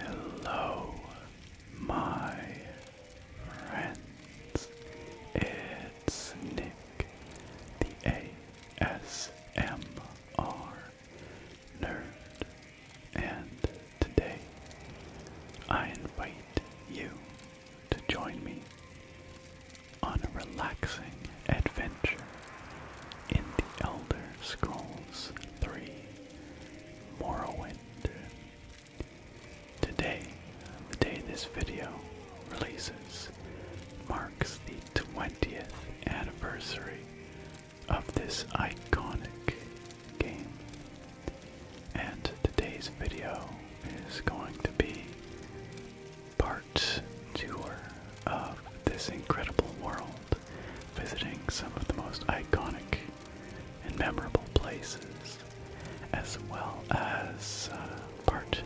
Hello, my friends. It's Nick, the ASM are Nerd, and today I invite you to join me on a relaxing adventure in the Elder Scrolls 3 Morrowind. Today, the day this video releases, marks it's the 20th anniversary of this iconic game. And today's video is going to be part tour of this incredible world, visiting some of the most iconic and memorable places, as well as uh, part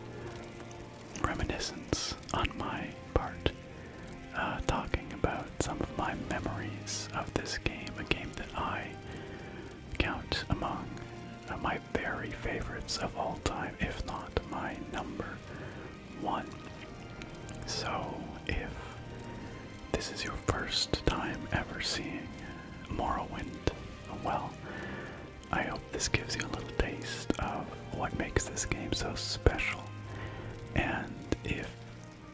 reminiscence on my part, uh, talking about some of my memories of this game, a game that I count among uh, my very favorites of all time, if not my number one. So, if this is your first time ever seeing Morrowind, well, I hope this gives you a little taste of what makes this game so special. And if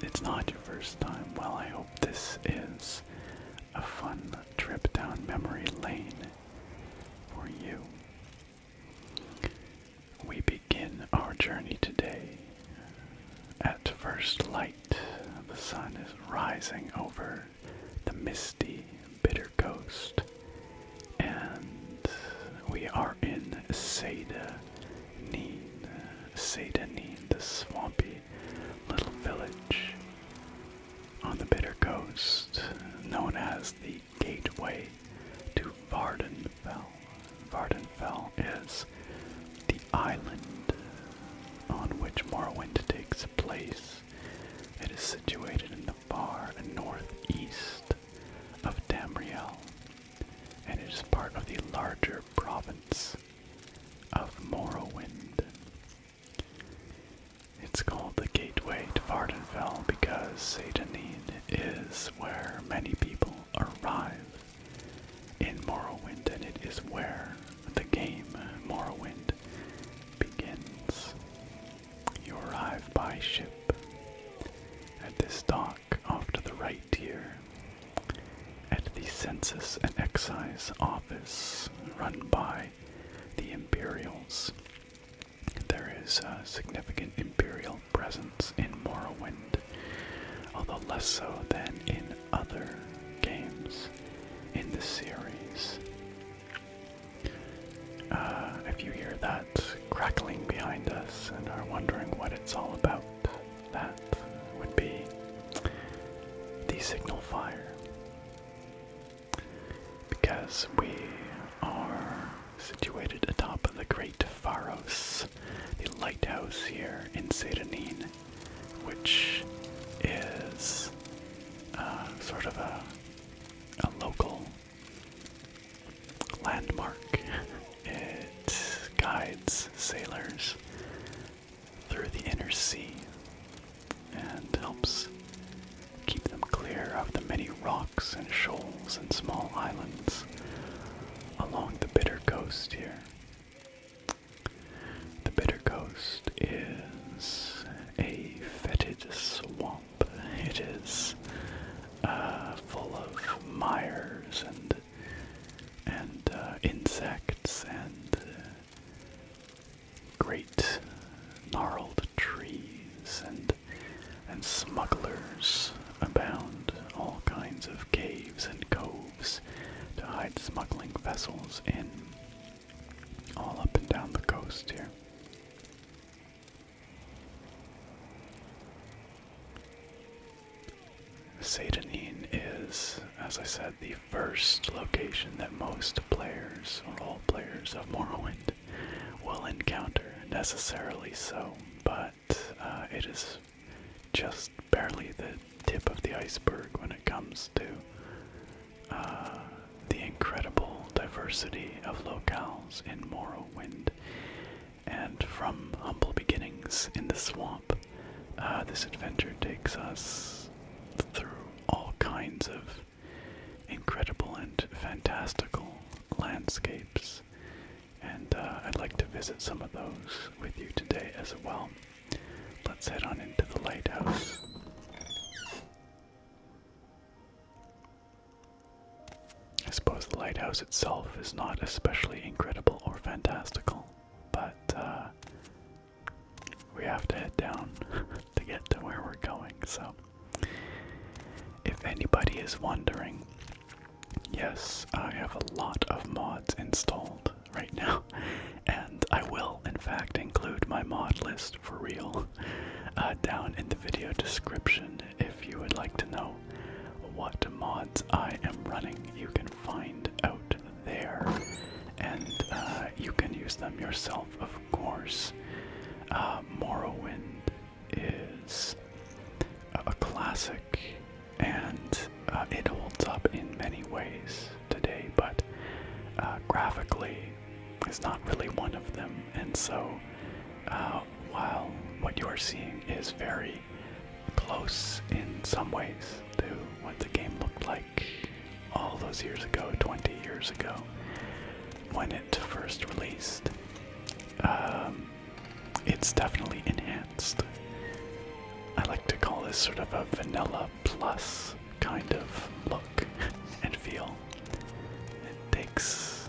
it's not your first time, well, I hope this is a fun trip down memory lane for you. We begin our journey today. At first light, the sun is rising over the misty, bitter coast and we are in Sadanin. Sadanin, the swampy little village on the bitter coast, known as the gateway to Vardenfell. Vardenfell is the island on which Morrowind takes place. It is situated in the far northeast of Tamriel and it is part of the larger province of Morrowind. It's called the Gateway to Vardenfell because Satanine is where many people arrive in Morrowind and it is where the game Morrowind begins. You arrive by ship at this dock off to the right here at the Census and Excise Office run by the Imperials. There is a significant Imperial presence in Morrowind, although less so than in other games in the series. Uh, if you hear that crackling behind us and are wondering what it's all about, that would be the signal fire. Because we are situated atop of the Great Pharos, the lighthouse here in Sedanine, which is uh, sort of a local landmark. It guides sailors through the inner sea and helps keep them clear of the many rocks and shoals and small islands along the bitter coast here. The bitter coast is a fetid swamp. It is uh, full of mires and and uh, insects and uh, great gnarled trees and and smugglers abound. All kinds of caves and coves to hide smuggling vessels in. All up and down the coast here. Satanine is, as I said, the first location that most players, or all players of Morrowind, will encounter, necessarily so, but uh, it is just barely the tip of the iceberg when it comes to uh, the incredible diversity of locales in Morrowind. And from humble beginnings in the swamp, uh, this adventure takes us through all kinds of incredible and fantastical landscapes. And uh, I'd like to visit some of those with you today as well. Let's head on into the lighthouse. I suppose the lighthouse itself is not especially incredible or fantastical, but uh, we have to head down to get to where we're going. So, if anybody is wondering, yes, I have a lot of mods installed right now, and I will, in fact, include my mod list for real uh, down in the video description if you would like to know what mods I am running, you can find out there. And uh, you can use them yourself, of course. Uh, Morrowind is a classic and uh, it holds up in many ways today, but uh, graphically is not really one of them. And so while what you are seeing is very close in some ways to what the game looked like all those years ago, 20 years ago, when it first released, um, it's definitely enhanced. I like to call this sort of a vanilla plus kind of look and feel. It takes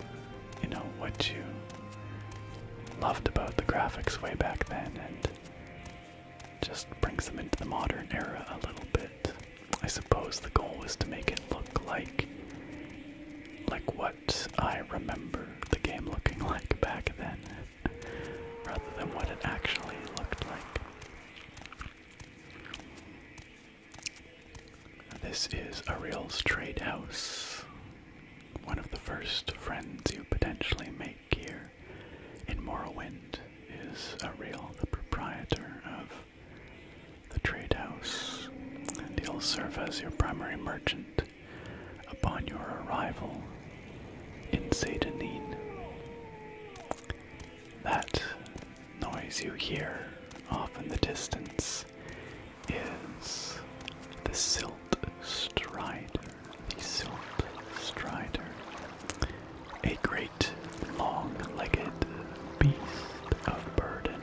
you know what you loved about the graphics way back then and just brings them into the modern era a little bit. I suppose the goal was to make it look like like what I remember the game looking like back then rather than what it actually looked like. This is Ariel's trade house. One of the first friends you potentially make here in Morrowind is Ariel, the proprietor of the trade house, and he'll serve as your primary merchant upon your arrival in Satanine. That noise you hear off in the distance is the Silt Strider. The Silt Strider. A great long legged beast of burden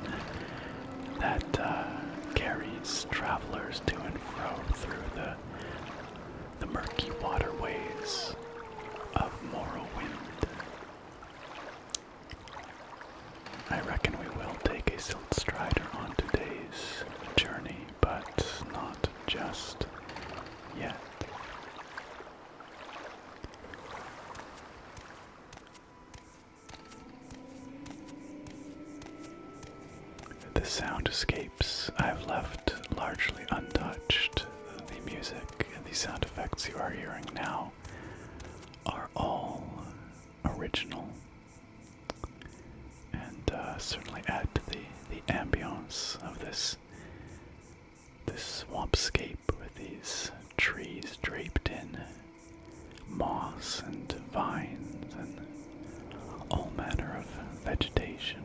that uh, carries travelers to and fro through the, the murky waterways of Morrowind. I reckon we will take a Silt Strider on today's journey, but not just yet. The sound escapes I've left largely untouched. The music and the sound effects you are hearing now are all original and uh, certainly add to the, the ambience of this this swampscape with these trees draped in moss and vines and all manner of vegetation.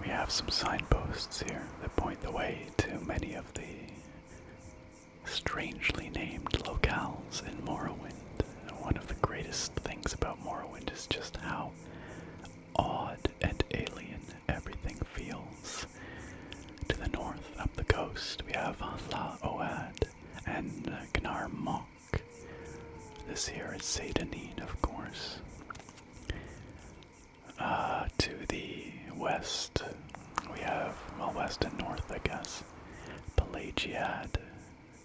We have some signposts here that point the way to many of the strangely named locales in Morrowind. one of the greatest things about Morrowind is just how odd and alien everything feels. To the north, up the coast, we have La Oad and Gnar This here is Sadanine, of course. Uh, to the west, we have, well, west and north, I guess, Pelagiad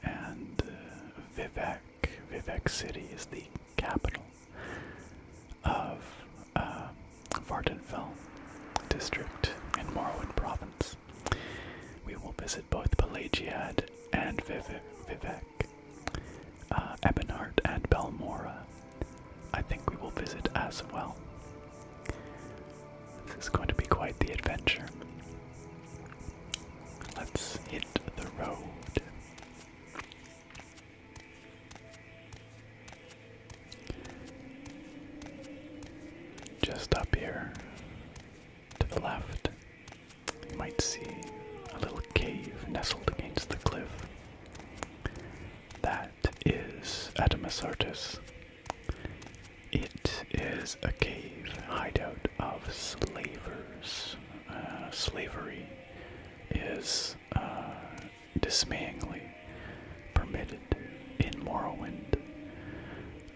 and uh, Vivek. Vivek City is the capital of uh, Vardenfell district in Morrowind province. We will visit both Pelagiad and Vivek uh, and Belmora, I think we will visit as well. This is going to be quite the adventure. Let's hit the road. Just up here to the left, you might see a little cave nestled against the cliff. That is Adamasartus. It is a cave hideout of slavers. Uh, slavery is uh, dismayingly permitted in Morrowind.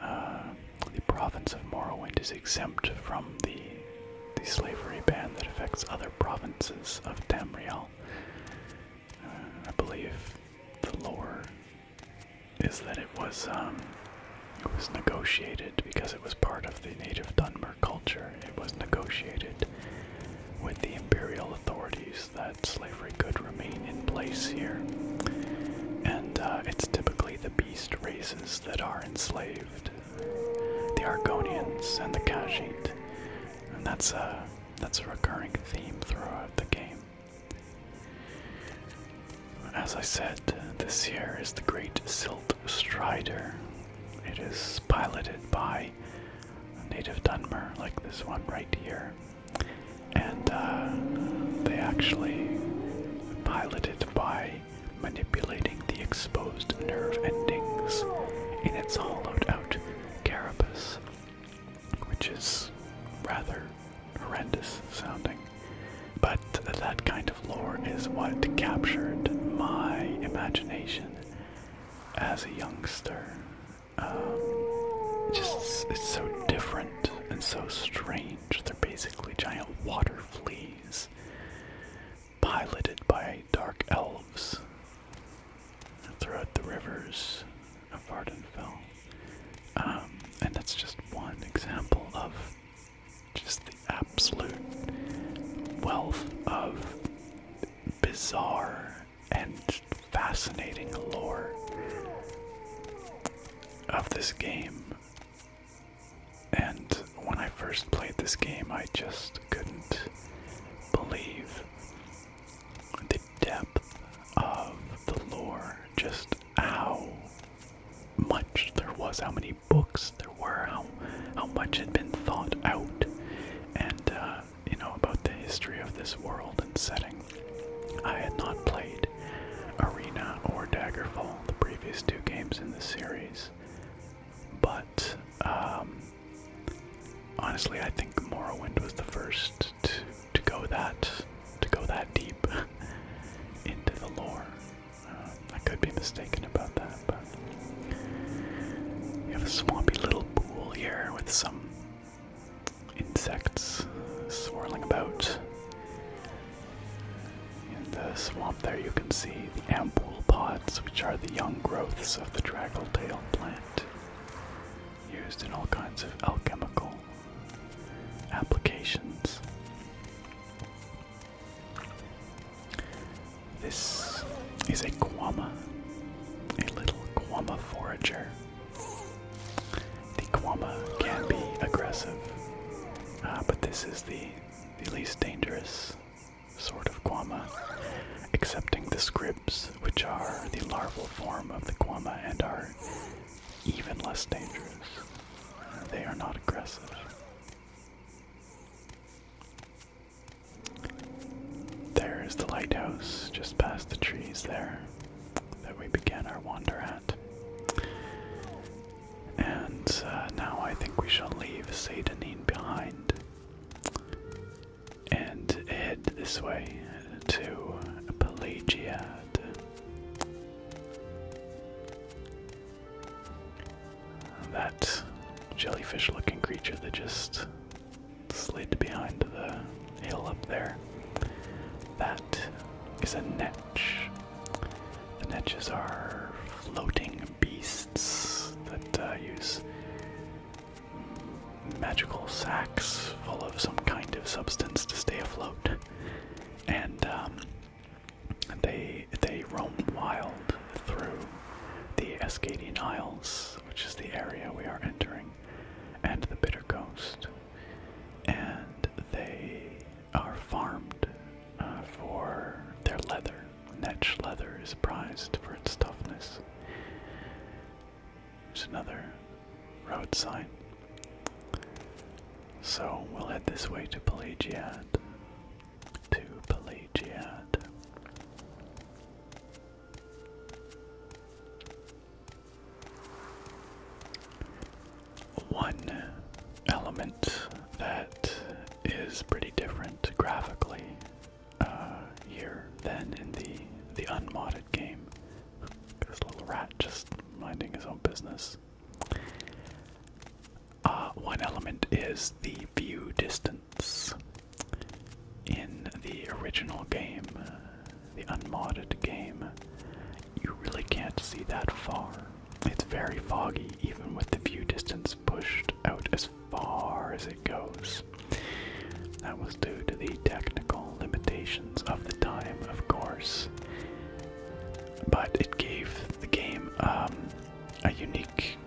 Uh, the province of Morrowind is exempt from the the slavery ban that affects other provinces of Tamriel. Uh, I believe the lore is that it was um, it was negotiated because it was part of the native Dunmer culture. It was negotiated with the imperial authorities that slavery could remain in place here, and uh, it's typically the beast races that are enslaved the Argonians and the Khajiit. And that's a uh, that's a recurring theme throughout the game. As I said, this here is the Great Silt Strider. It is piloted by native Dunmer, like this one right here. And uh, they actually piloted by manipulating the exposed nerve endings in its hollowed out carapace, which is rather horrendous sounding. But that kind of lore is what captured my imagination as a youngster. Um, just it's so different and so strange. They're basically giant water fleas piloted by dark elves throughout the rivers of Ardenfell. Um, and that's just one example of just the absolute wealth of bizarre and fascinating lore of this game. And when I first played this game, I just couldn't believe the depth of the lore, just how much there was, how many books there were, how, how much had been thought out, and, uh, you know, about the history of this world and setting. I had not played Arena or Daggerfall, the previous two games in the series, but um, Honestly, I think Morrowind was the first to to go that to go that deep into the lore. Uh, I could be mistaken about that, but we have a swampy little pool here with some insects swirling about. In the swamp, there you can see the ample pod which are the young growths of the draggletail plant, used in all kinds of alchemical applications. This is a guama, a little guama forager. The guama can be aggressive, uh, but this is the least dangerous sort of guama, excepting the scrips, which are the larval form of the guama and are even less dangerous. They are not aggressive. There is the lighthouse just past the trees there that we began our wander at. And uh, now I think we shall leave Sadanin behind and head this way to Pelagiad. That jellyfish looking creature that just slid behind the hill up there. That is a netch. The netches are floating beasts that uh, use magical sacks full of some kind of substance to stay afloat, and um, they they roam wild through the Escadian Isles, which is the area we are entering, and the Bitter Coast, and they are farmed uh, for their leather Netch leather is prized for its toughness. There's another road sign. So we'll head this way to Pelagia. To Pelagia. One element that is pretty different graphically uh, here than in the the unmodded game. This little rat just minding his own business. Uh, one element is the view distance. In the original game, uh, the unmodded game, you really can't see that far. It's very foggy, even with the view distance pushed out as as far as it goes. That was due to the technical limitations of the time, of course. But it gave the game um, a unique,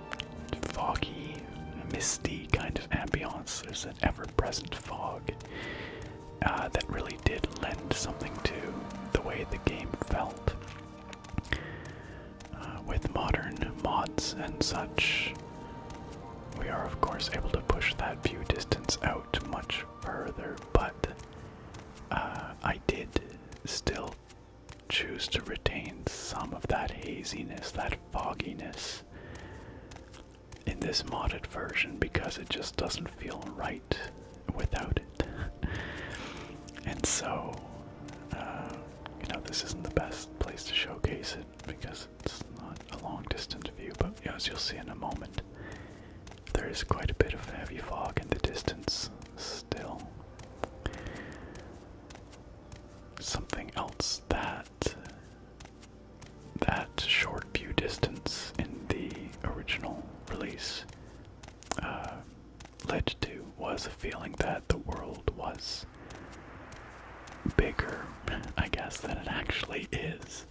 foggy, misty kind of ambiance. There's an ever present fog uh, that really did lend something to the way the game felt. Uh, with modern mods and such, we are of course able to push that view distance out much further, but uh, I did still choose to retain some of that haziness, that fogginess in this modded version because it just doesn't feel right without it. and so, uh, you know, this isn't the best place to showcase it because it's not a long distance view, but as you'll see in a moment, there is quite a bit of heavy fog in the distance still. Something else that that short view distance in the original release uh, led to was a feeling that the world was bigger, I guess, than it actually is,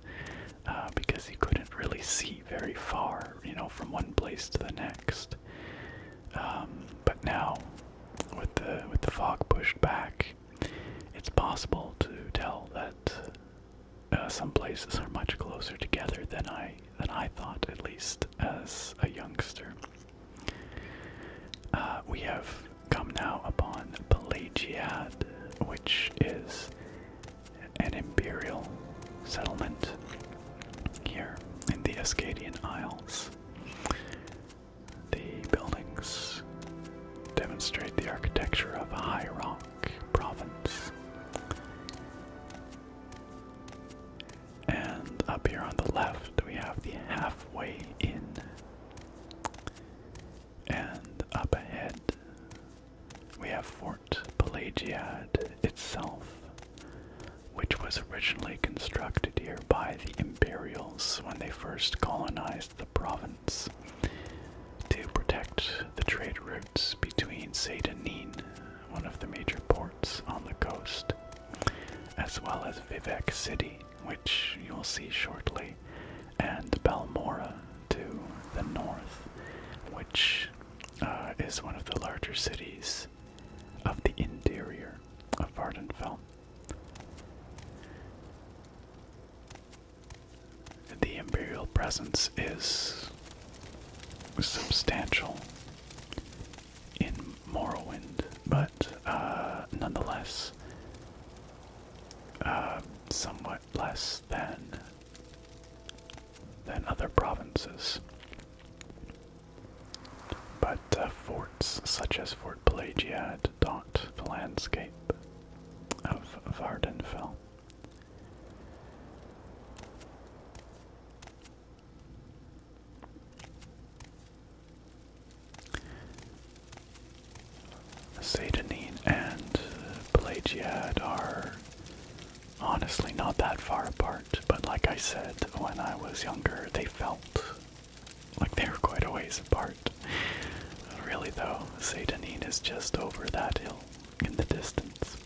uh, because you couldn't really see very far, you know, from one place to the next. Um, but now, with the with the fog pushed back, it's possible to tell that uh, some places are much closer together than I than I thought, at least as a youngster. Uh, we have come now upon Pelagiad, which is an imperial settlement here in the Ascadian Isles. The buildings demonstrate the architecture of High Rock Province. And up here on the left, we have the halfway in. And up ahead, we have Fort Pelagiad itself, which was originally constructed here by the Imperials when they first colonized the province to protect the trade routes between Saitanine, one of the major ports on the coast, as well as Vivek City, which you'll see shortly, and Balmora to the north, which uh, is one of the larger cities of the interior of Vardenfell. The Imperial presence is substantial, in Morrowind, but uh, nonetheless, uh, somewhat less than than other provinces. But uh, forts such as Fort Pelagia dot the landscape of Vardenfell. Satanine and Pelagiad are honestly not that far apart, but like I said, when I was younger, they felt like they were quite a ways apart. Really, though, Satanine is just over that hill in the distance.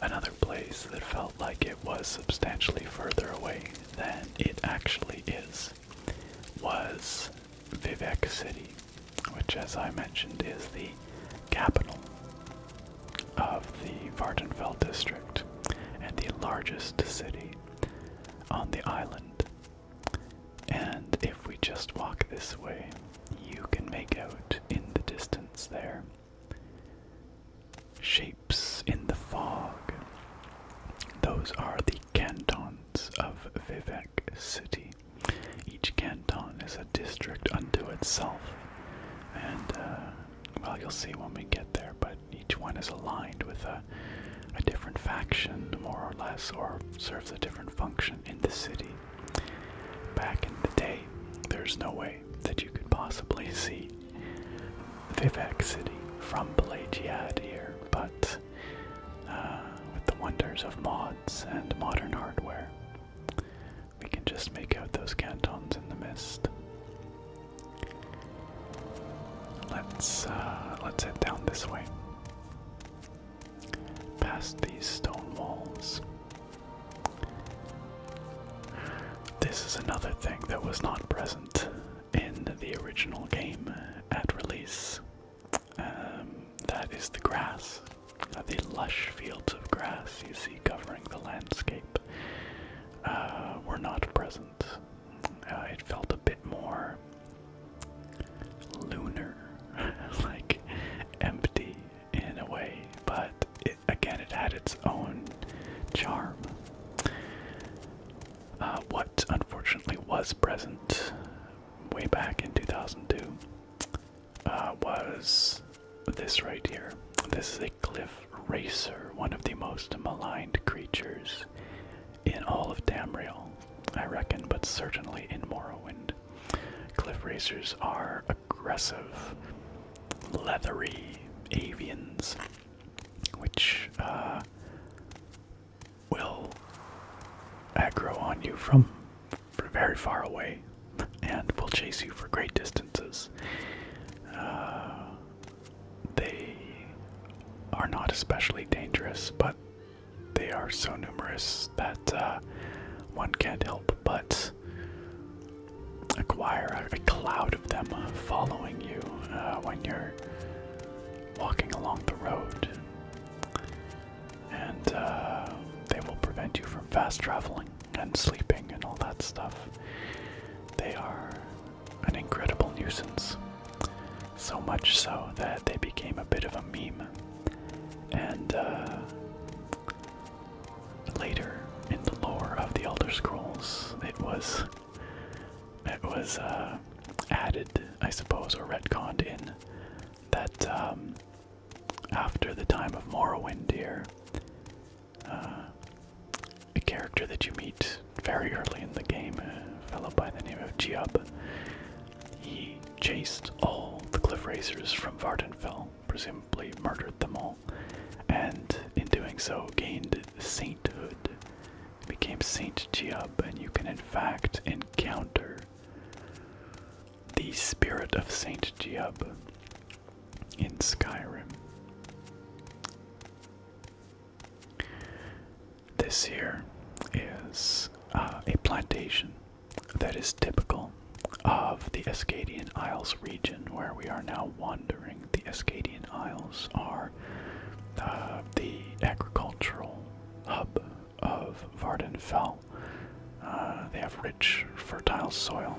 Another place that felt like it was substantially further away than it actually is, was Vivek City, which, as I mentioned, is the capital of the Vardenfell district and the largest city on the island. And if we just walk this way, you can make out in the distance there. She in the fog. Those are the cantons of Vivek City. Each canton is a district unto itself. And, uh, well, you'll see when we get there, but each one is aligned with a different faction, more or less, or serves a different function in the city. Back in the day, there's no way that you could possibly see Vivek City from Pelagiad here, but uh, with the wonders of mods and modern hardware, we can just make out those cantons in the mist. Let's uh, let's head down this way, past these stone walls. This is another thing that was not present in the original game at release. Um, that is the grass, uh, the lush fields of grass you see covering the landscape, uh, were not present. Uh, it felt a bit more lunar, like empty in a way, but it, again, it had its own charm. Uh, what unfortunately was present way back in 2002 uh, was this right here. This is a cliff racer, one of the most maligned creatures in all of Tamriel, I reckon, but certainly in Morrowind. Cliff racers are aggressive, leathery avians which uh, will aggro on you from, very far away and will chase you for great distances. Uh, they are not especially dangerous, but they are so numerous that uh, one can't help but acquire a, cloud of them uh, following you uh, when you're walking along the road. And uh, they will prevent you from fast traveling and sleeping and all that stuff. They are an incredible nuisance. So much so that they became a bit of a meme. And later in the lore of the Elder Scrolls, it was it was uh, added, I suppose, or retconned in that um, after the time of Morrowind here, uh, a character that you meet very early in the game, a fellow by the name of Giub, he chased all the cliff racers from Vardenfell, presumably murdered them all, and in doing so gained St became Saint Giab, and you can in fact encounter the spirit of Saint Giab in Skyrim. This here is uh, a plantation that is typical of the Escadian Isles region where we are now wandering the Escadian Isles are uh, the agricultural hub of Vardenfell. Uh, they have rich, fertile soil,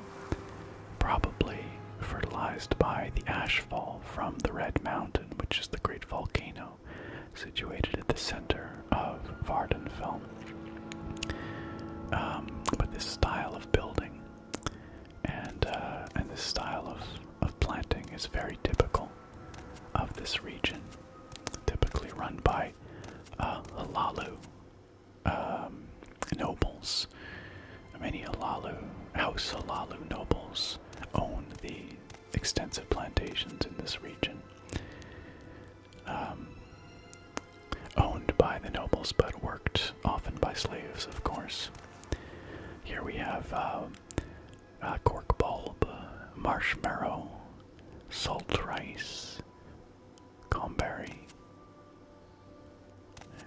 probably fertilized by the ashfall from the Red Mountain, which is the great volcano situated at the center of Vardenfell. Um, but this style of building and uh, and this style of of planting is very typical of this region, typically run by uh, Halalu um, nobles. Many Halalu, House Halalu nobles own the extensive plantations in this region. Um, owned by the nobles, but worked often by slaves, of course. Here we have uh, cork bulb, marshmallow, salt rice, comberry,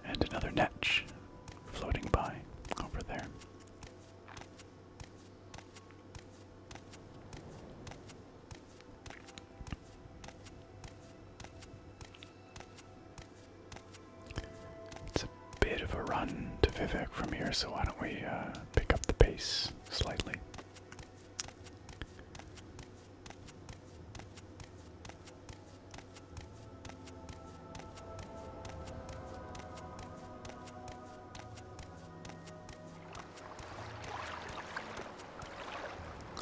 and another netch floating by over there. It's a bit of a run to Vivek from here, so why don't we uh, pick up the pace slightly?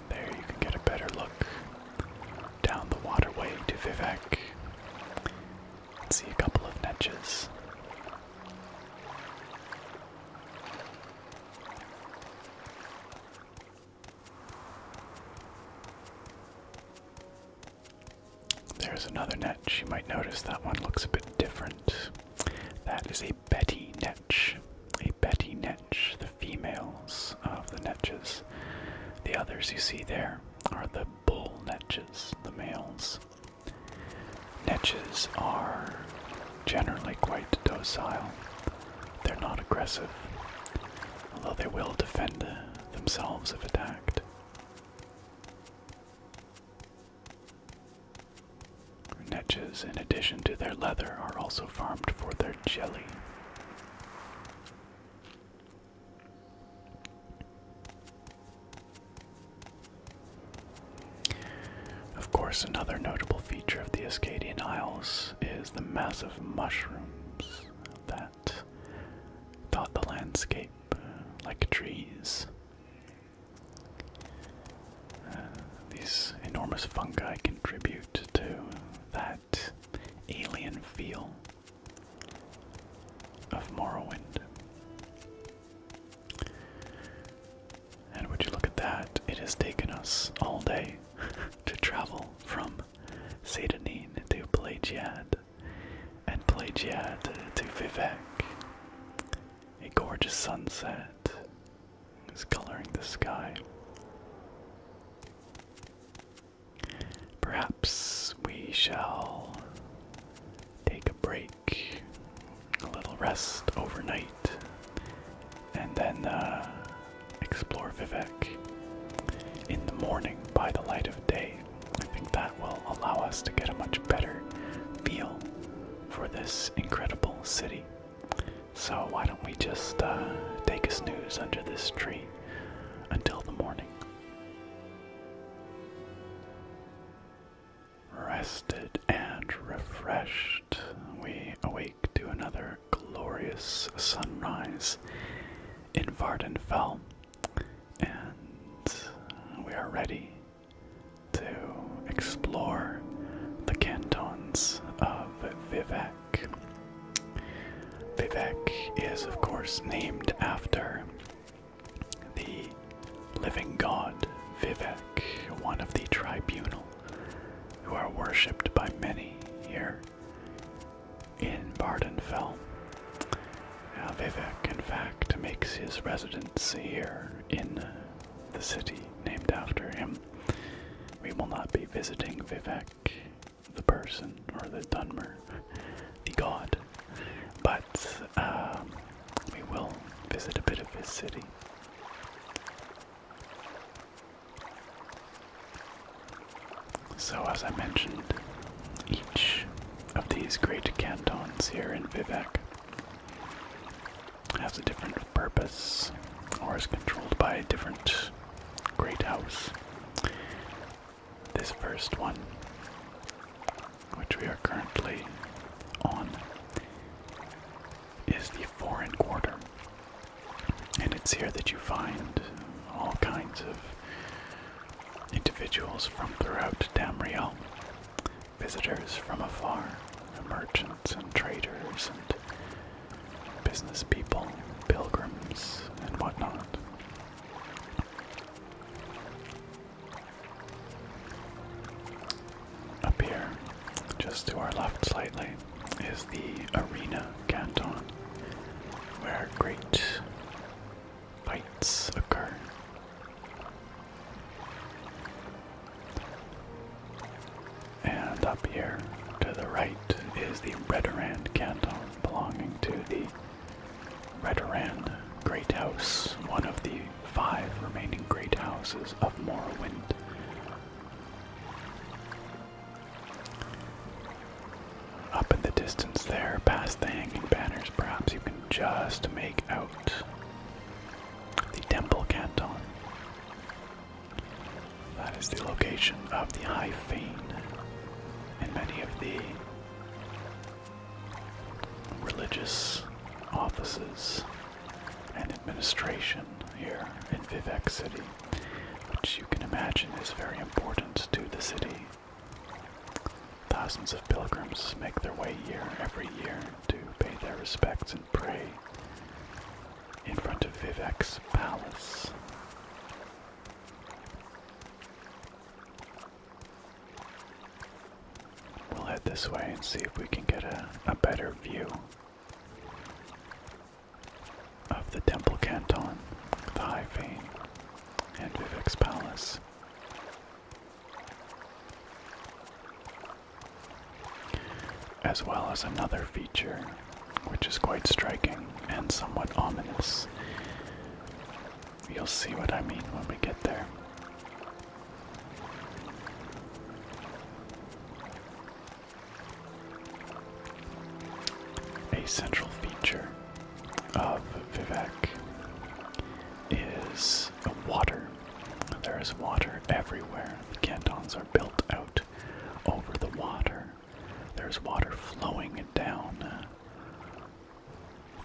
There you can get a better look down the waterway to Vivek. let see a couple of netches. There's another netch. You might notice that one looks a bit different. That is a Betty netch. A Betty netch, the females of the netches. The others you see there are the bull netches, the males. Netches are generally quite docile. They're not aggressive, although they will defend uh, themselves if attacked. Netches, in addition to their leather, are also farmed for their jelly. Of course, another notable feature of the Ascadian Isles is the massive mushrooms that dot the landscape uh, like trees. Uh, these enormous fungi contribute to that alien feel of Morrowind. And would you look at that? It has taken us all day to travel from Sedanine to Plagiad and Plagiad to Vivek. A gorgeous sunset is coloring the sky. Perhaps we shall take a break, a little rest overnight, and then uh, explore Vivek in the morning by the light of day. I think that will allow us to get a much better feel for this incredible city. So, why don't we just uh, take a snooze under this tree until the morning? Rested and refreshed, we awake to another glorious sunrise in Vardenfell, and we are ready to explore the cantons of Vivek. Vivek is, of course, named after the living god Vivek, one of the tribunal, who are worshipped by many here in Bardenfell. Now, uh, in fact, makes his residence here in the city named after him. We will not be visiting Vivek the person or the Dunmer, the god. But um, we will visit a bit of his city. So, as I mentioned, each of these great cantons here in Vivek has a different purpose or is controlled by a different great house this first one, which we are currently on, is the foreign quarter. And it's here that you find all kinds of individuals from throughout Tamriel, visitors from afar, merchants and traders and business people, pilgrims and whatnot. Up here, just to our left slightly, is the Arena Canton, where great fights occur. And up here to the right is the Redoran Canton, belonging to the Redoran, Great House, one of the five remaining great houses of Morrowind. Up in the distance there, past the hanging banners, perhaps you can just make out the Temple Canton. That is the location of the High Fane and many of the religious offices and administration here in Vivek City, which you can imagine is very important to the city. Thousands of pilgrims make their way here every year to pay their respects and pray in front of Vivek's palace. We'll head this way and see if we can get a, better view of the Temple Canton, the High Fane, and Vivek's Palace. As well as another feature which is quite striking and somewhat ominous You'll see what I mean when we get there. A central feature of Vivek is water. There is water everywhere. The cantons are built out over the water. There's water flowing down uh,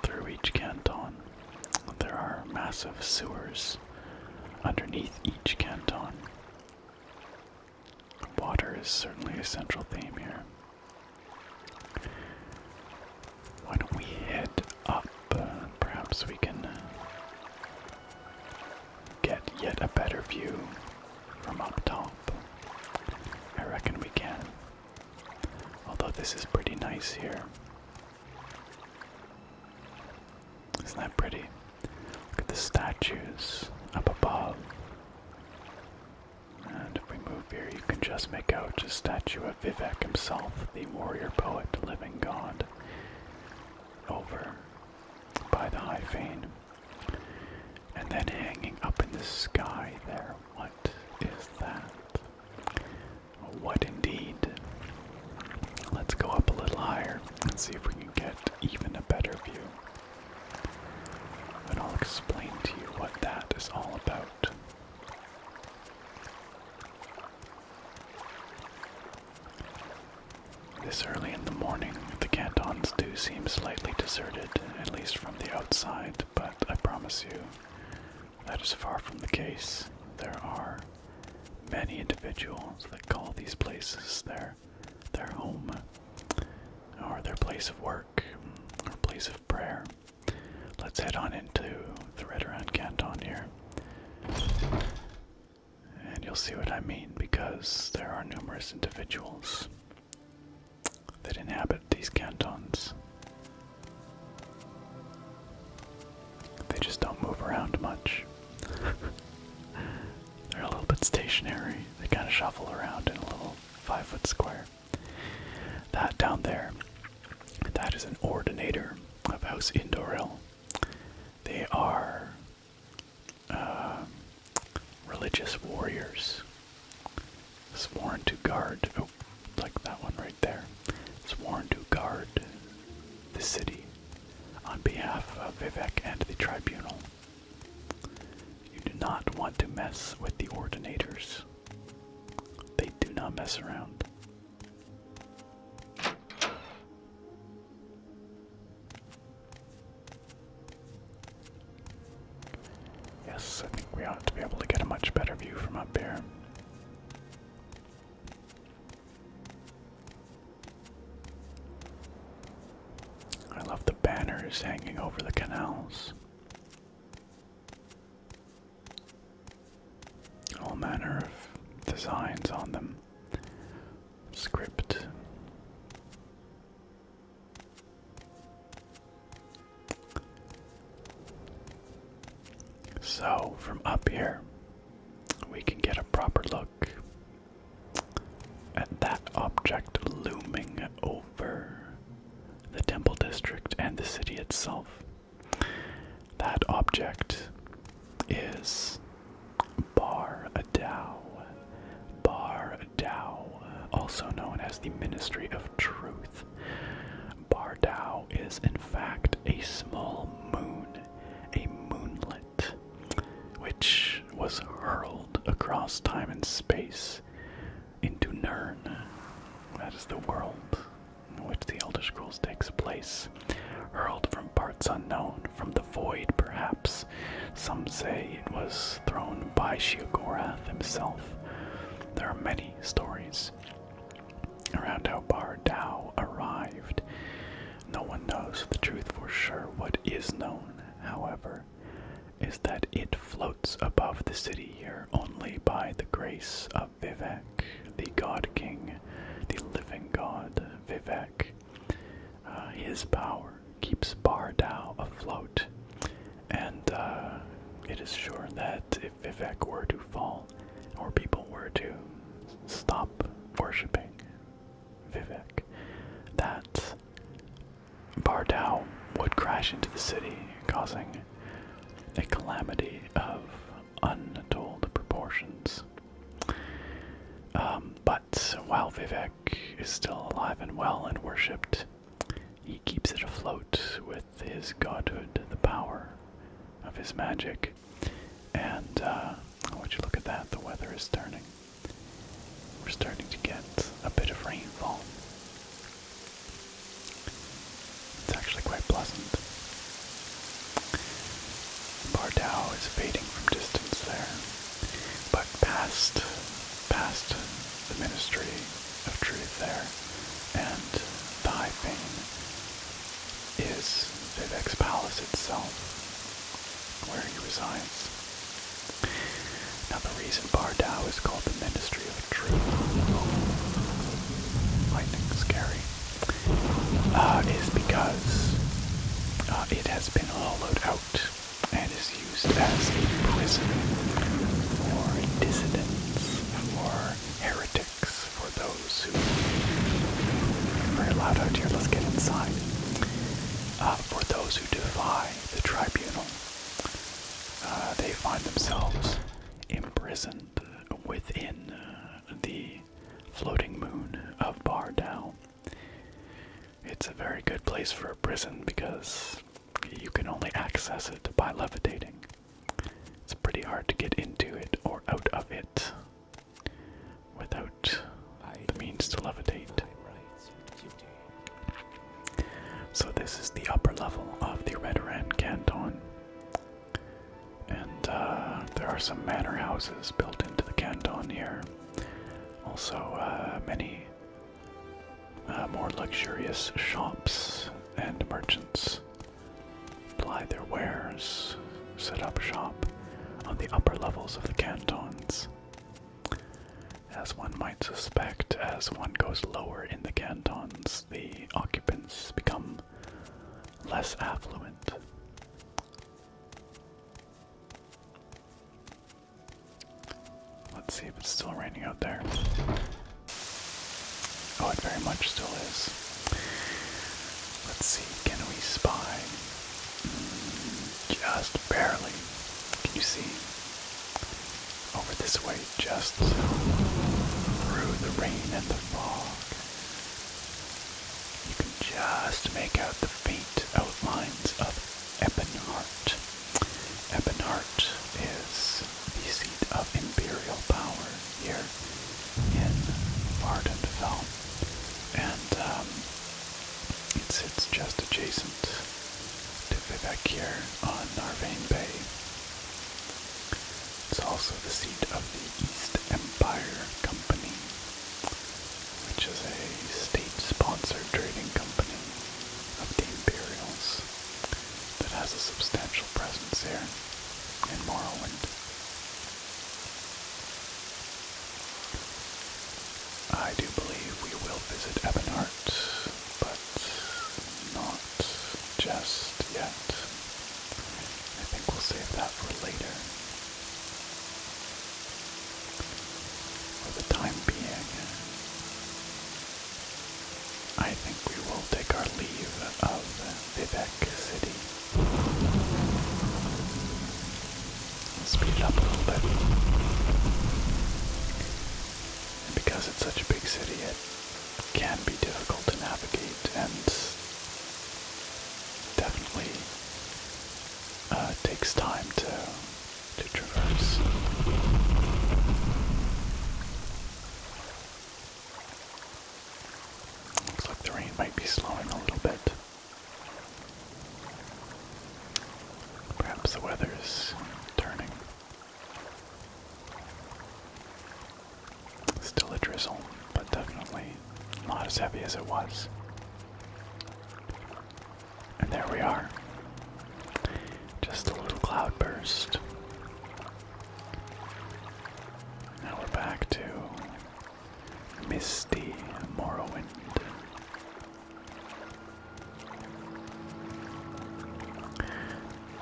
through each canton. There are massive sewers underneath each canton. Water is certainly a central theme here. Why don't we head up? Uh, perhaps we can uh, get yet a better view from up top. I reckon we can. Although this is pretty nice here. Isn't that pretty? Look at the statues up above. And if we move here, you can just make out a statue of Vivek himself, the warrior poet, living god, over by the High Fane. And then hanging up in the sky there, what is that? What indeed? Let's go up a little higher and see if we can get even a better view. And I'll explain to you what that is all about. This early in the morning, the cantons do seem slightly deserted, at least from the outside but I promise you that is far from the case. There are many individuals that call these places their their home or their place of work or place of prayer. Let's head on into the Red Redoran Canton here. And you'll see what I mean because there are numerous individuals that inhabit these cantons. They just don't move around much. They're a little bit stationary. They kind of shuffle around in a little five foot square. That down there, that is an ordinator of House Indoril. They are uh, religious warriors sworn to guard oh like that one right there sworn to guard the city on behalf of Vivek and the tribunal you do not want to mess with the ordinators they do not mess around Yes, I think we ought to be able to get a much better view from up here. I love the banners hanging over the canals. All manner of designs on them. Script. So, from up here, we can get a proper look at that object looming over the temple district and the city itself. That object is Bar Dao. Dao also known as the Ministry of Truth. Bardow is in fact a small moon, a moonlet, which was hurled across time and space into Nern. That is the world in which the Elder Scrolls takes place. Hurled from parts unknown, from the void perhaps. Some say it was thrown by Shiogorath himself. There are many stories around how Bar arrived. No one knows the truth for sure. What is known, however, is that it floats above the city here only by the grace of Vivek, the god king, the living god Vivek. Uh, his power keeps Bardao afloat and uh, it is sure that if Vivek were to fall, or people were to stop worshipping Vivek, that Bardow would crash into the city, causing a calamity of untold proportions. Um, but while Vivek is still alive and well and worshipped, he keeps it afloat with his godhood, the power of his magic. And uh, oh, would you look at that? The weather is turning. We're starting to get a bit of rainfall. It's actually quite pleasant. Bardow is fading from distance there, but past, past the ministry of truth there. And thy high fane is Vivek's palace itself, where he resides. Now the reason Bardao is called the Ministry of Truth, lightning scary, uh, is because uh, it has been hollowed out and is used as a prison for dissidents, for heretics, for those who. Very loud out here, let's get inside. Uh, for those who defy the tribunal, uh, they find themselves imprisoned within uh, the floating moon of Bar Down. It's a very good place for a prison because you can only access it by levitating. It's pretty hard to get into it or out of it without the means to levitate. So, this is the upper level of the Redoran Canton. And uh, there are some manor houses built into the canton here. Also, uh, many uh, more luxurious shops and merchants ply their wares, set up shop on the upper levels of the cantons. As one might suspect, as one goes lower in the cantons, the occupants become less affluent. Let's see if it's still raining out there. Oh, it very much still is. Let's see, can we spy? just barely. Can you see? Over this way, just through the rain and the fog. You can just make out the faint outlines of Ebonheart. Ebonart is the seat of imperial power here in Vardenfell, and um, it sits just adjacent to Vivek on Narvain Bay. It's also the seat of the East Empire Company, which is a state-sponsored trading company of the Imperials that has a substantial presence here in Morrowind. I do believe we will visit Ebonheart, but not just yet. I think we'll save that for later. For the time being, I think we will take our leave of Vivek City. Speed up a little bit. And because it's such a big city, it can be difficult to navigate and definitely uh, takes time to to traverse. Looks like the rain might be slowing a little bit. Perhaps the weather is turning. Still a drizzle, but definitely not as heavy as it was. And there we are. Just a little cloud burst. Now we're back to misty Morrowind.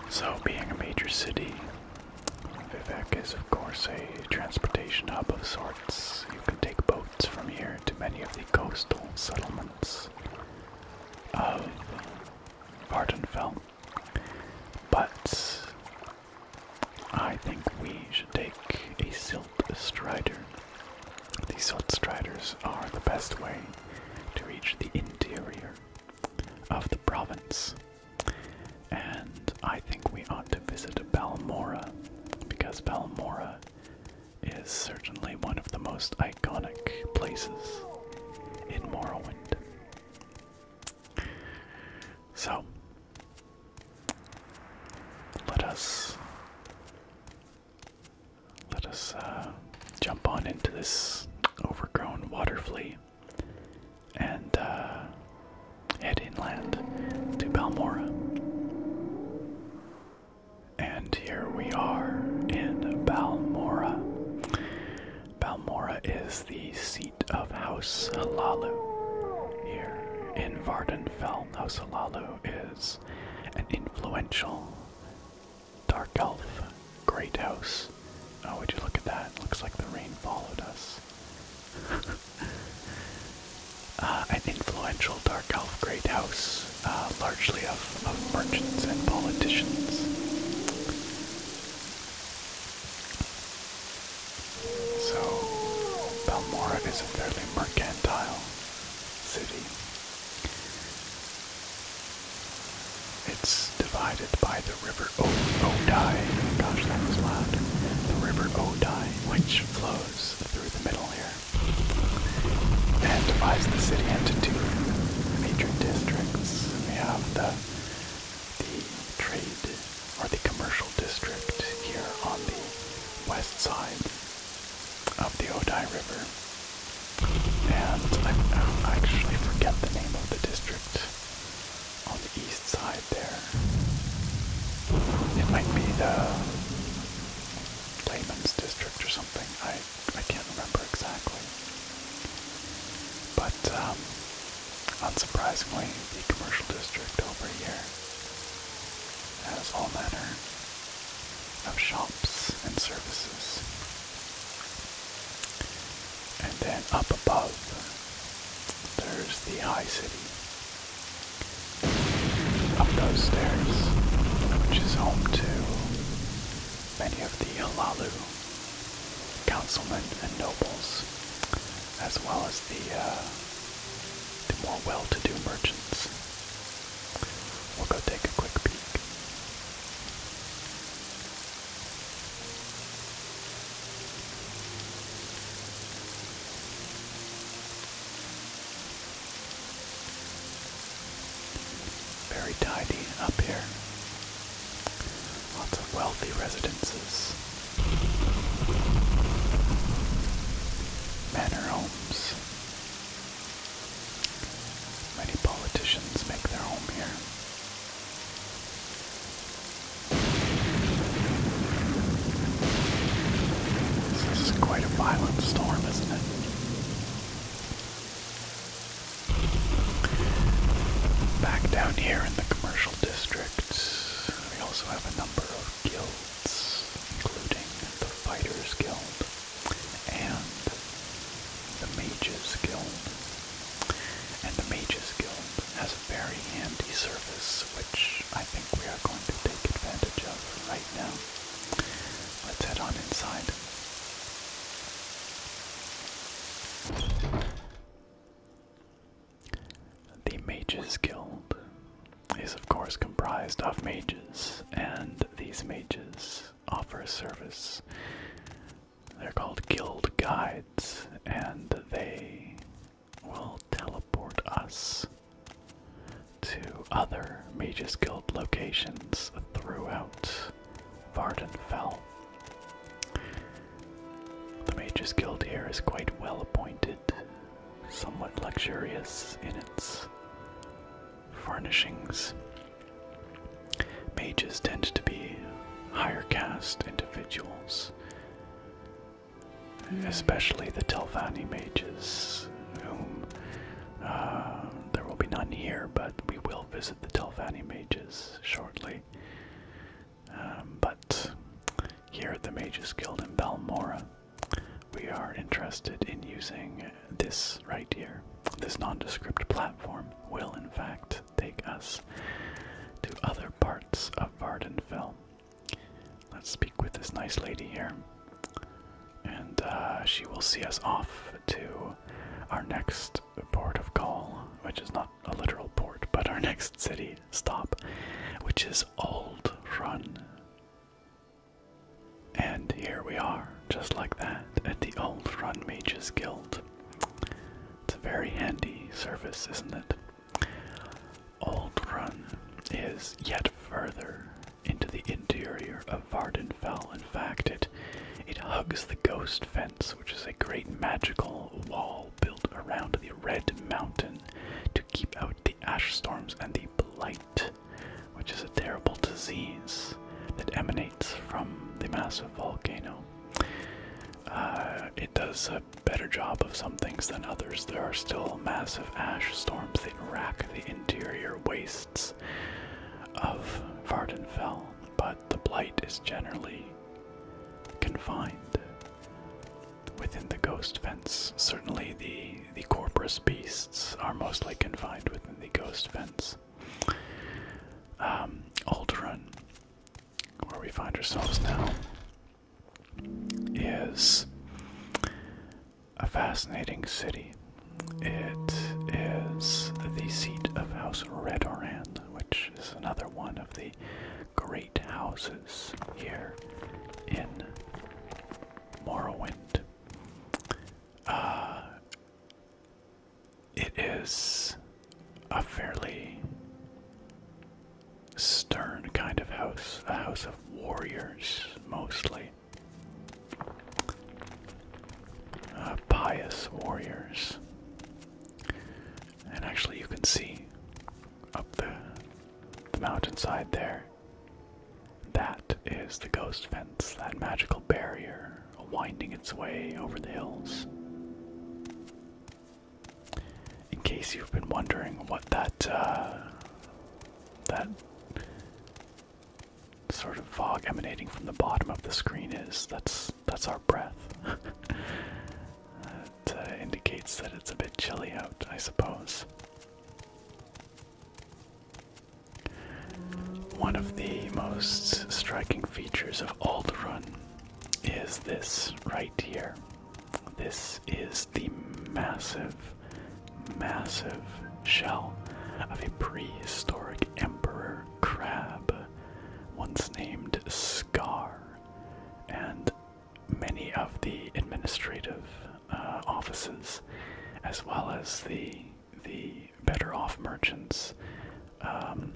So, being a major city, Vivek is, of course, a transportation hub of sorts. You can take boats from here to many of the coastal settlements of Vardenfell. But I think we should take a Silt Strider. The Silt Striders are the best way to reach the interior of the province. And I think we ought to visit Balmora, because Balmora is certainly one of the most iconic places in Morrowind. So, let us let us uh, jump on into this overgrown water flea and uh, head inland to Balmora. And here we are in Balmora. Balmora is the seat of House Halalu here in Vardenfell. House Halalu is an influential dark elf great house. Oh, would you look at that? Looks like the rain followed us. Uh, an influential dark elf great house uh, largely of, of merchants and politicians. So, Balmora is a fairly mercantile city. It's divided by the river o Odai. Gosh, that was loud. The river Odai, which flows through the middle here, and divides the city into two major districts. We have the the trade or the commercial district here on the west side of the Odai River. And I, actually forget the name of the district on the east side there. It might be the Layman's District or something. I can't remember exactly. But um, unsurprisingly, the commercial district over here has all manner of shops and services. And then up above, there's the high city. Up those stairs, which is home to many of the Halalu councilmen and nobles, as well as the, uh, more well-to-do merchants. well to do merchants will go take a quick peek. Very tidy up here. Lots of wealthy residences. Manor homes. Many politicians make their home here. This is quite a violent storm, isn't it? Back down here in the commercial districts, we also have a number of guilds, including the Fighters Guild and the Mages Guild. And the Mages Guild has a very handy service, which I think we are going to take advantage of right now. Let's head on inside. The Mages Guild is, of course, comprised of mages, and these mages offer a service. They're called guild guides, and they will teleport us to other Mages Guild locations throughout Varden fell. The Mages Guild here is quite well appointed, somewhat luxurious in its furnishings. Mages tend to be higher caste individuals, hmm. especially the Telvanni mages, whom uh, there will be none here, but we will visit the Telvanni Mages shortly. Um, but here at the Mages Guild in Balmora, we are interested in using this right here. This nondescript platform will, in fact, take us to other parts of Vardenfell. Let's speak with this nice lady here. And uh, she will see us off to our next port of call, which is not a literal port, but our next city stop, which is Old Run. And here we are, just like that, at the Old Run Mages Guild. It's a very handy service, isn't it? Old Run is yet further into the interior of Vardenfell. In fact, it it. hugs the ghost fence, which is a great magical wall built around the red mountain to keep out the ash storms and the blight, which is a terrible disease that emanates from the massive volcano. Uh, it does a better job of some things than others. There are still massive ash storms that rack the interior waste of Vardenfell, but the blight is generally confined within the ghost fence. Certainly the the corpus beasts are mostly confined within the ghost fence. Um, Alderaan, where we find ourselves now, is a fascinating city. It is the seat of House Redoran, which is another one of the great houses here in Morrowind. Uh, it is a fairly stern kind of house, a house of warriors mostly. Uh, pious warriors. And actually, you can see up the, the mountainside there. That is the ghost fence, that magical barrier winding its way over the hills. In case you've been wondering what that uh, that sort of fog emanating from the bottom of the screen is. That's that's our breath. It uh, indicates that it's a bit chilly out, I suppose. One of the most striking features of Alderun is this right here. This is the massive, massive shell of a prehistoric emperor crab, once named Scar, and many of the administrative uh, offices, as well as the the better off merchants, um,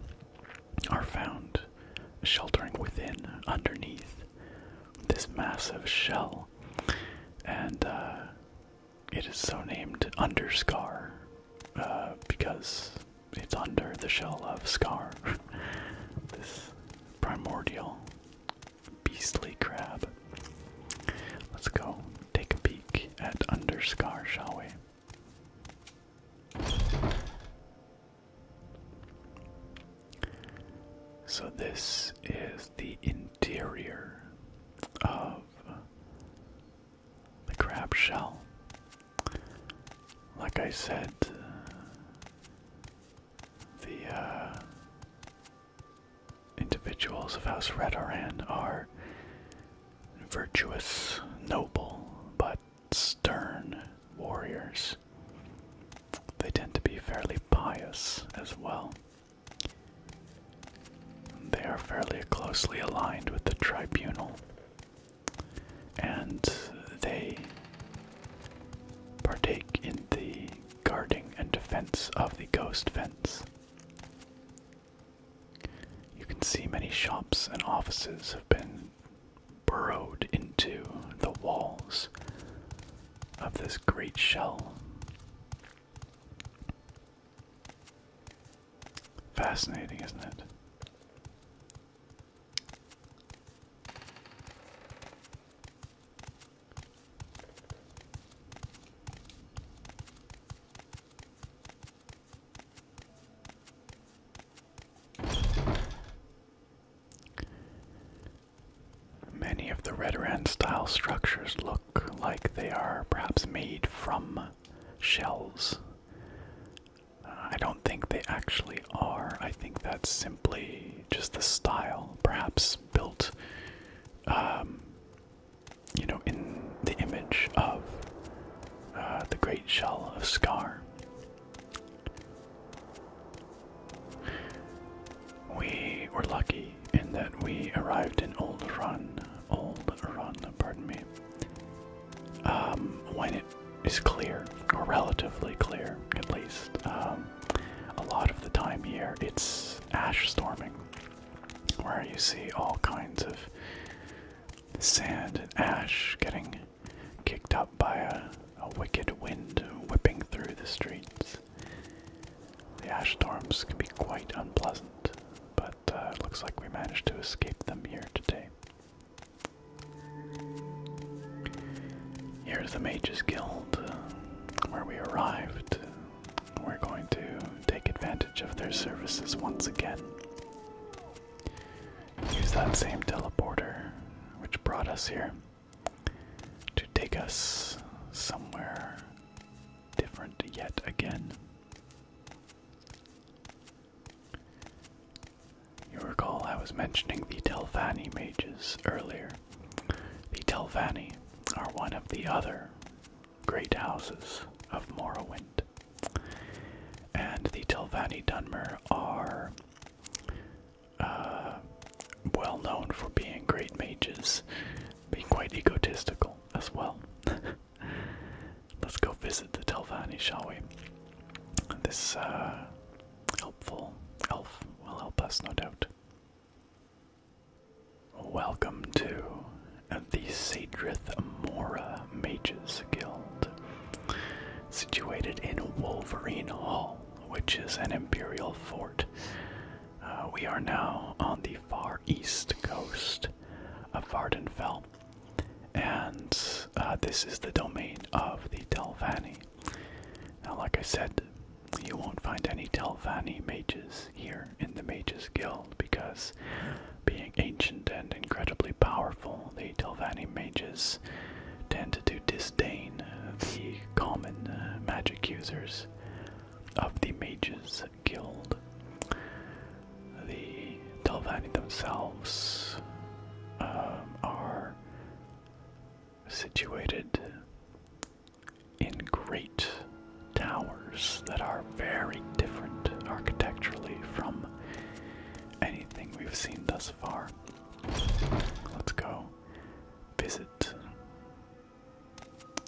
are found sheltering within, underneath this massive shell, and uh, it is so named Underscar, uh, because it's under the shell of Scar, this primordial beastly crab. Let's go take a peek at Underscar, shall we? So, this is the interior of the crab shell. Like I said, uh, the uh, individuals of House Redoran are virtuous, noble, but stern warriors. They tend to be fairly pious as well. They are fairly closely aligned with the tribunal, and they partake in the guarding and defense of the ghost fence. You can see many shops and offices have been burrowed into the walls of this great shell. Fascinating, isn't it? Many of the Redoran style structures look like they are perhaps made from shells. I don't think they actually are. I think that's simply just the style, perhaps built, um, you know, in the image of uh, the great shell of Scar. We were lucky in that we arrived in Old Run old oh, run, pardon me, um, when it is clear, or relatively clear at least, um, a lot of the time here it's ash storming, where you see all kinds of sand and ash getting kicked up by a, a wicked wind whipping through the streets. The ash storms can be quite unpleasant, but uh, looks like we managed to escape them here today. Here's the Mages Guild, uh, where we arrived. We're going to take advantage of their services once again. Use that same teleporter which brought us here to take us somewhere different yet again. You recall I was mentioning the Telvanni mages earlier. The Telvanni are one of the other great houses of Morrowind. And the Telvanni Dunmer are uh, well known for being great mages, being quite egotistical as well. Let's go visit the Telvanni, shall we? This uh, helpful elf will help us, no doubt. Welcome to the Sadrith Mora Mages Guild, situated in Wolverine Hall, which is an imperial fort. Uh, we are now on the far east coast of Vardenfell. And uh, this is the domain of the Telvanni. Now, like I said, you won't find any Telvanni mages here in the Mages Guild because, being ancient and incredibly powerful, the Telvanni mages tend to disdain the common uh, magic users of the mages that the Telvanni themselves um, are situated in great towers that are very different architecturally from anything we've seen thus far. Let's go visit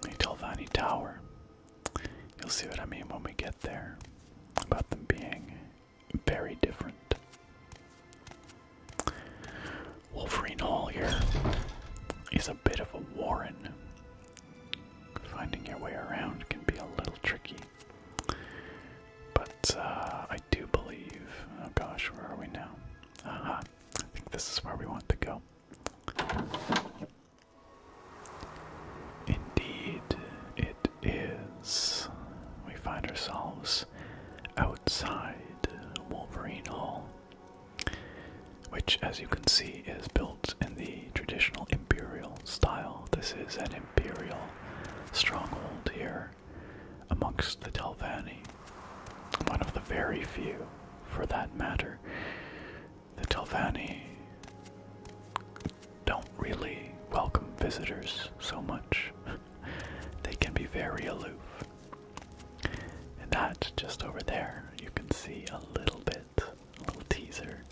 a Telvanni tower. You'll see what I mean when we get there about them being very different. Wolverine Hall here is a bit of a warren. Finding your way around can be a little tricky. But uh, I do believe. Oh gosh, where are we now? Aha, I think this is where we want to go. Indeed, it is. We find ourselves outside Wolverine Hall, which, as you can see, is built in the traditional imperial style. This is an imperial stronghold here amongst the Telvanni, one of the very few, for that matter, the Telvanni don't really welcome visitors so much. they can be very aloof. And that, just over there, you can see a little bit, a little teaser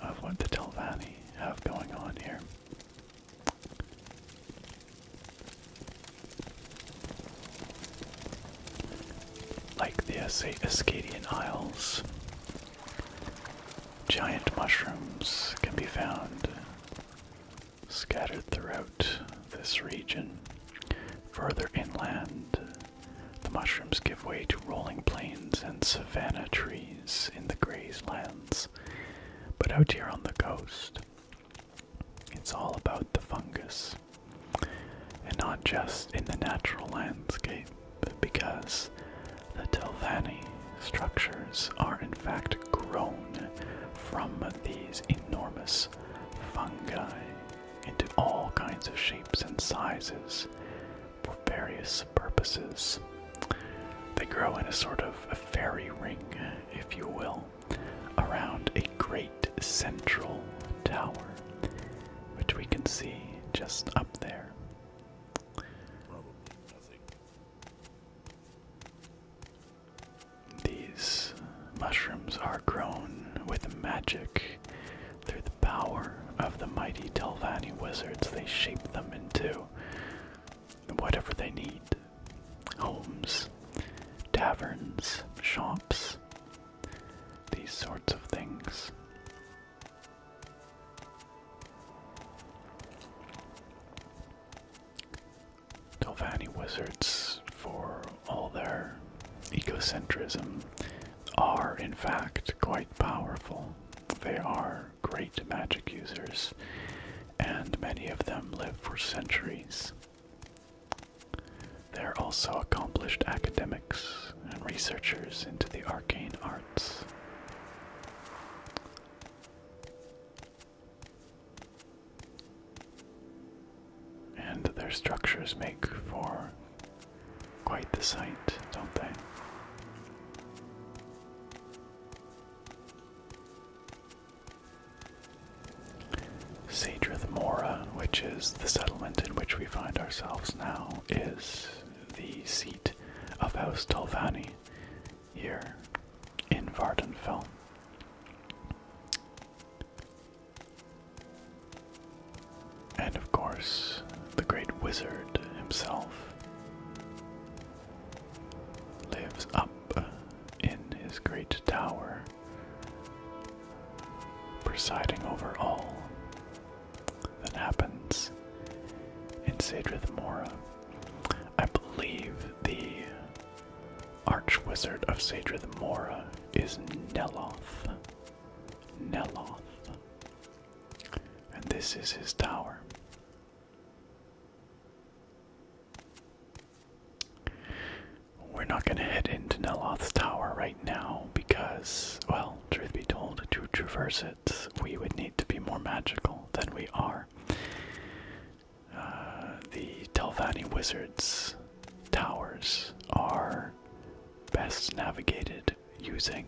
of what the Telvanni have going on here like the Ascadian Isles. Giant mushrooms can be found scattered throughout this region. Further inland, the mushrooms give way to rolling plains and savanna trees in the grazelands. But out here on the coast, it's all about the fungus and not just in the natural landscape, because the Telvanni structures are in fact grown from these enormous fungi into all kinds of shapes and sizes for various purposes. They grow in a sort of a fairy ring, if you will, around a great central tower which we can see just up there. These mushrooms are grown with magic. Through the power of the mighty Delvani wizards, they shape them into whatever they need homes, taverns, shops, these sorts of things. Novani wizards, for all their ecocentrism, are in fact quite powerful. They are great magic users, and many of them live for centuries. They're also accomplished academics and researchers into the arcane arts. And their structures make for quite the sight, don't they? Sadrith Mora, which is the settlement in which we find ourselves now, is the seat of House Dalvani here in Vardenfell. And of course, the great wizard himself lives up in his great tower, presiding over all that happens in Sadrith Mora. I believe the Archwizard of Sadrith Mora is Neloth. Neloth. And this is his tower. We're not going to head into Neloth's tower right now because, well, Truth be told, to traverse it, we would need to be more magical than we are. Uh, the Telvanni Wizards' towers are best navigated using.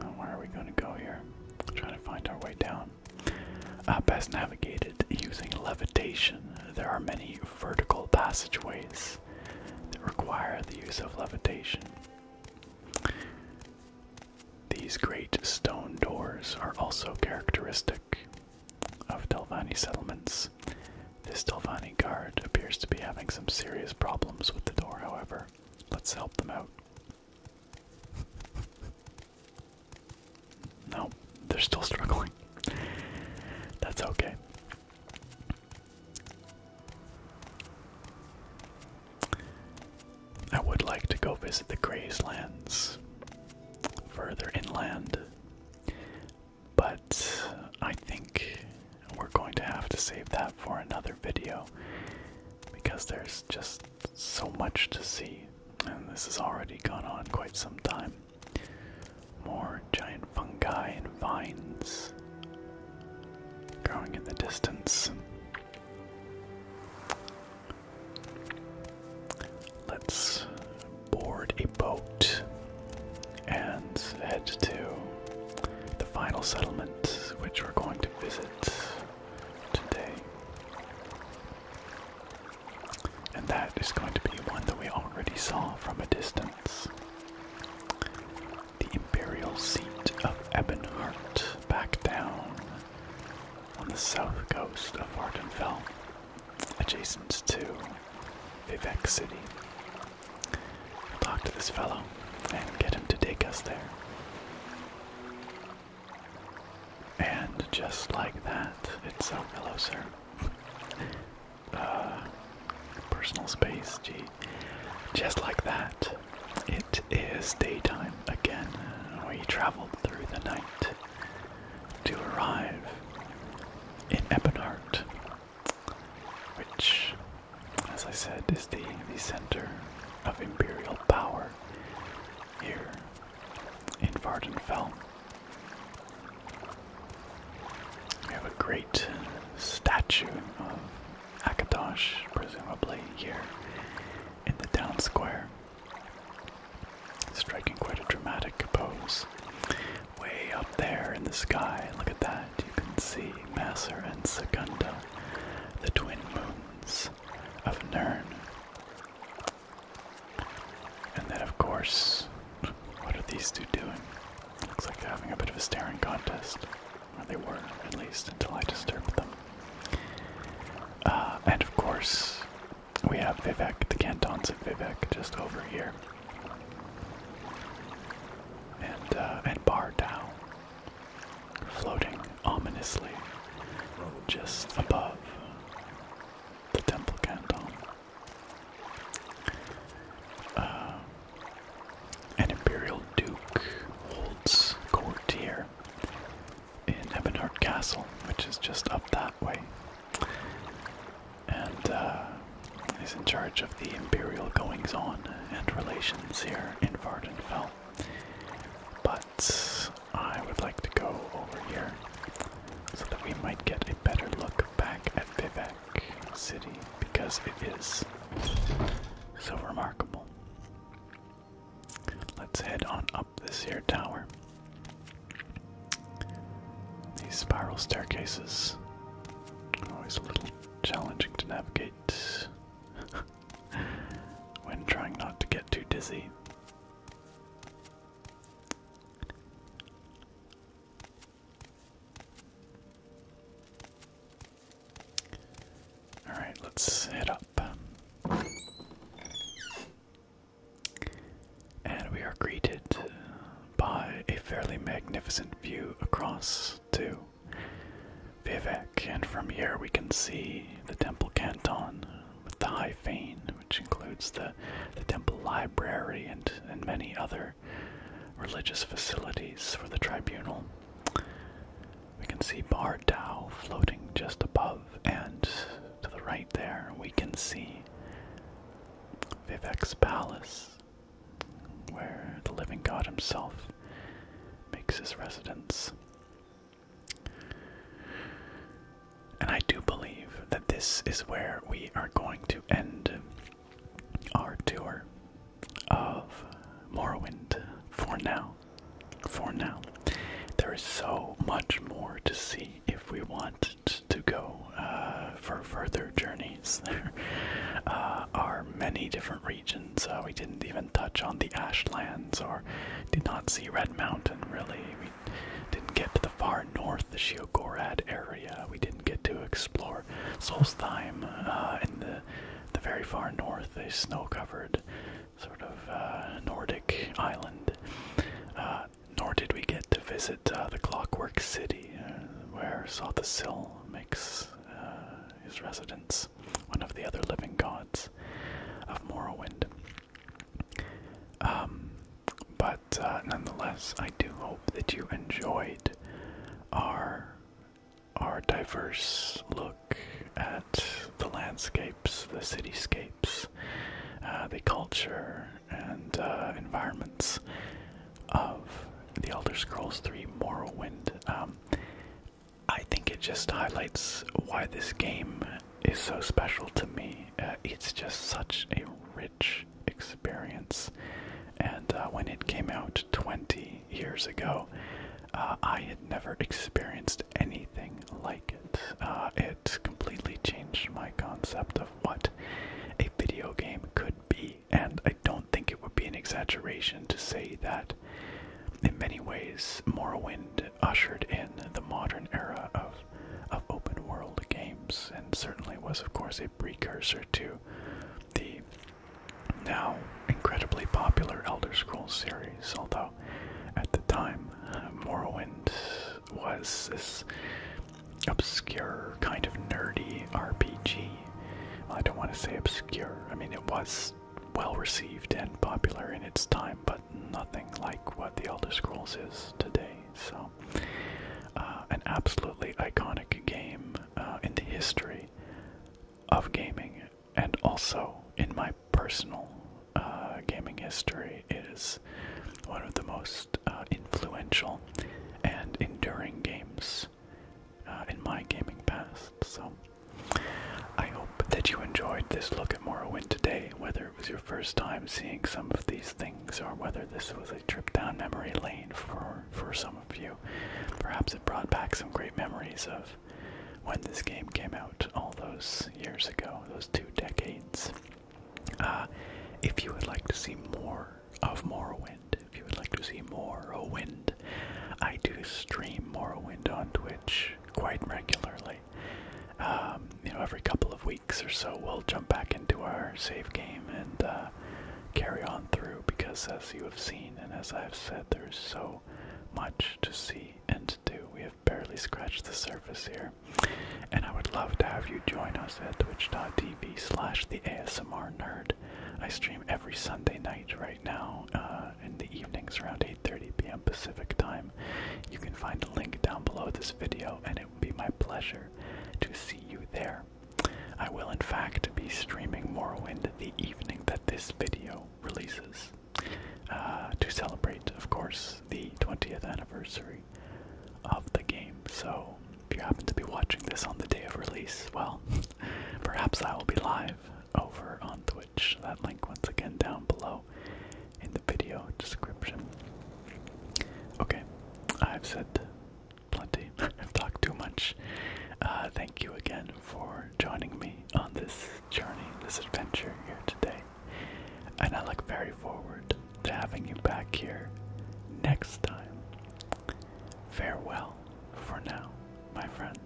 Uh, where are we going to go here? trying to find our way down. Uh, best navigated using levitation. There are many vertical passageways that require the use of levitation. These great stone doors are also characteristic of Delvani settlements. This Delvani guard appears to be having some serious problems with the door, however. Let's help them out. No, they're still struggling. That's okay. I would like to go visit the Grayslands further inland, but I think we're going to have to save that for another video because there's just so much to see, and this has already gone on quite some time. More giant fungi and vines growing in the distance. Let's board a boat and head to the final settlement, which we're going to visit today. And that is going to be one that we already saw from a distance. The imperial seat of Ebonheart back down on the south coast of Vardenfell, adjacent to Vivek City. talk to this fellow and get him to take us there. And just like that, it's so hello, sir. Uh, personal space. Gee, just like that, it is daytime again. We traveled through the night to arrive in Ebonheart, which, as I said, is the center of imperial power here in Vardenfell. We have a great statue of Akatosh, presumably here in the town square, striking quite a dramatic pose. Way up there in the sky, look at that, you can see Masser and Secunda, the twin moons of Nern. And then, of course, what are these two doing? Looks like they're having a bit of a staring contest. Or they were, at least, until I disturbed them. Uh, and of course, we have Vivek, the cantons of Vivek, just over here. And, uh, and Bar down, floating ominously just above the temple canton. Uh, an imperial duke holds court here in Ebonheart Castle, which is just up that way, and uh, is in charge of the imperial goings on and relations here in Vardenfell. But I would like to go over here so that we might get better look back at Vivek City because it is so remarkable. Let's head on up this here tower. These spiral staircases always a little challenging to navigate when trying not to get too dizzy. All right, let's head up. And we are greeted by a fairly magnificent view across to Vivek, and from here we can see the Temple Canton with the High Fane, which includes the, the Temple Library and, and many other religious facilities for the tribunal. We can see Bar Dao floating just above, and to the right there, we can see Vivek's Palace, where the living god himself makes his residence. And I do believe that this is where we are going to end our tour of Morrowind for now. For now. There is so much more to see if we want to go uh, for further journeys. There uh, are many different regions. Uh, we didn't even touch on the Ashlands or did not see Red Mountain, really. We didn't get to the far north the Shiogorad area we didn't get to explore. Solstheim uh, in the, the very far north, a snow-covered sort of uh, Nordic island. Uh, nor did we get to visit the Clockwork City, where Sothasill makes his residence, one of the other living gods of Morrowind. Um, but uh, nonetheless, I do hope that you enjoyed our our diverse look at the landscapes, the cityscapes, uh, the culture, and uh, environments of the Elder Scrolls 3 Morrowind. Um, I think it just highlights why this game is so special to me. it's just such a rich experience. And uh, when it came out 20 years ago, uh, I had never experienced anything like it. Uh, it completely changed my concept of what a video game could be, and I don't think it would be an exaggeration to say that in many ways Morrowind ushered in the modern era of of open world games and certainly was of course a precursor to the now incredibly popular Elder Scrolls series, although at the time uh, Morrowind was this obscure, kind of nerdy RPG. I don't want to say obscure, I mean, it was well received and popular in its time, but nothing like what the Elder Scrolls is today, so. Uh, an absolutely iconic game uh, in the history of gaming, and also in my personal uh, gaming history, is one of the most influential and enduring games in my gaming past. So, I hope that you enjoyed this look at Morrowind today, whether it was your first time seeing some of these things or whether this was a trip down memory lane for for some of you. Perhaps it brought back some great memories of when this game came out all those years ago, those two decades. Uh, if you would like to see more of Morrowind, if you would like to see more of Morrowind, I do stream Morrowind on Twitch quite regularly. Um, you know, every couple of weeks or so, we'll jump back into our save game and uh, carry on through because, as you have seen and as I have said, there's so much to see and to do. We have barely scratched the surface here, and I would love to have you join us at twitch.tv slash the ASMR nerd. I stream every Sunday night right now uh, in the evenings around 8.30 p.m. Pacific time. You can find a link down below this video, and it will be my pleasure to see you there. I will, in fact, be streaming Morrowind the evening that this video releases uh, to celebrate, of course, the 20th anniversary of the game. So, if you happen to be watching this on the day of release, well, perhaps I will be live over on Twitch. That link, once again, down below in the video description. Okay, I've said plenty. I've talked too much. Uh, thank you again for joining me on this journey, this adventure here today. And I look very forward to having you back here next time. Farewell for now, my friends.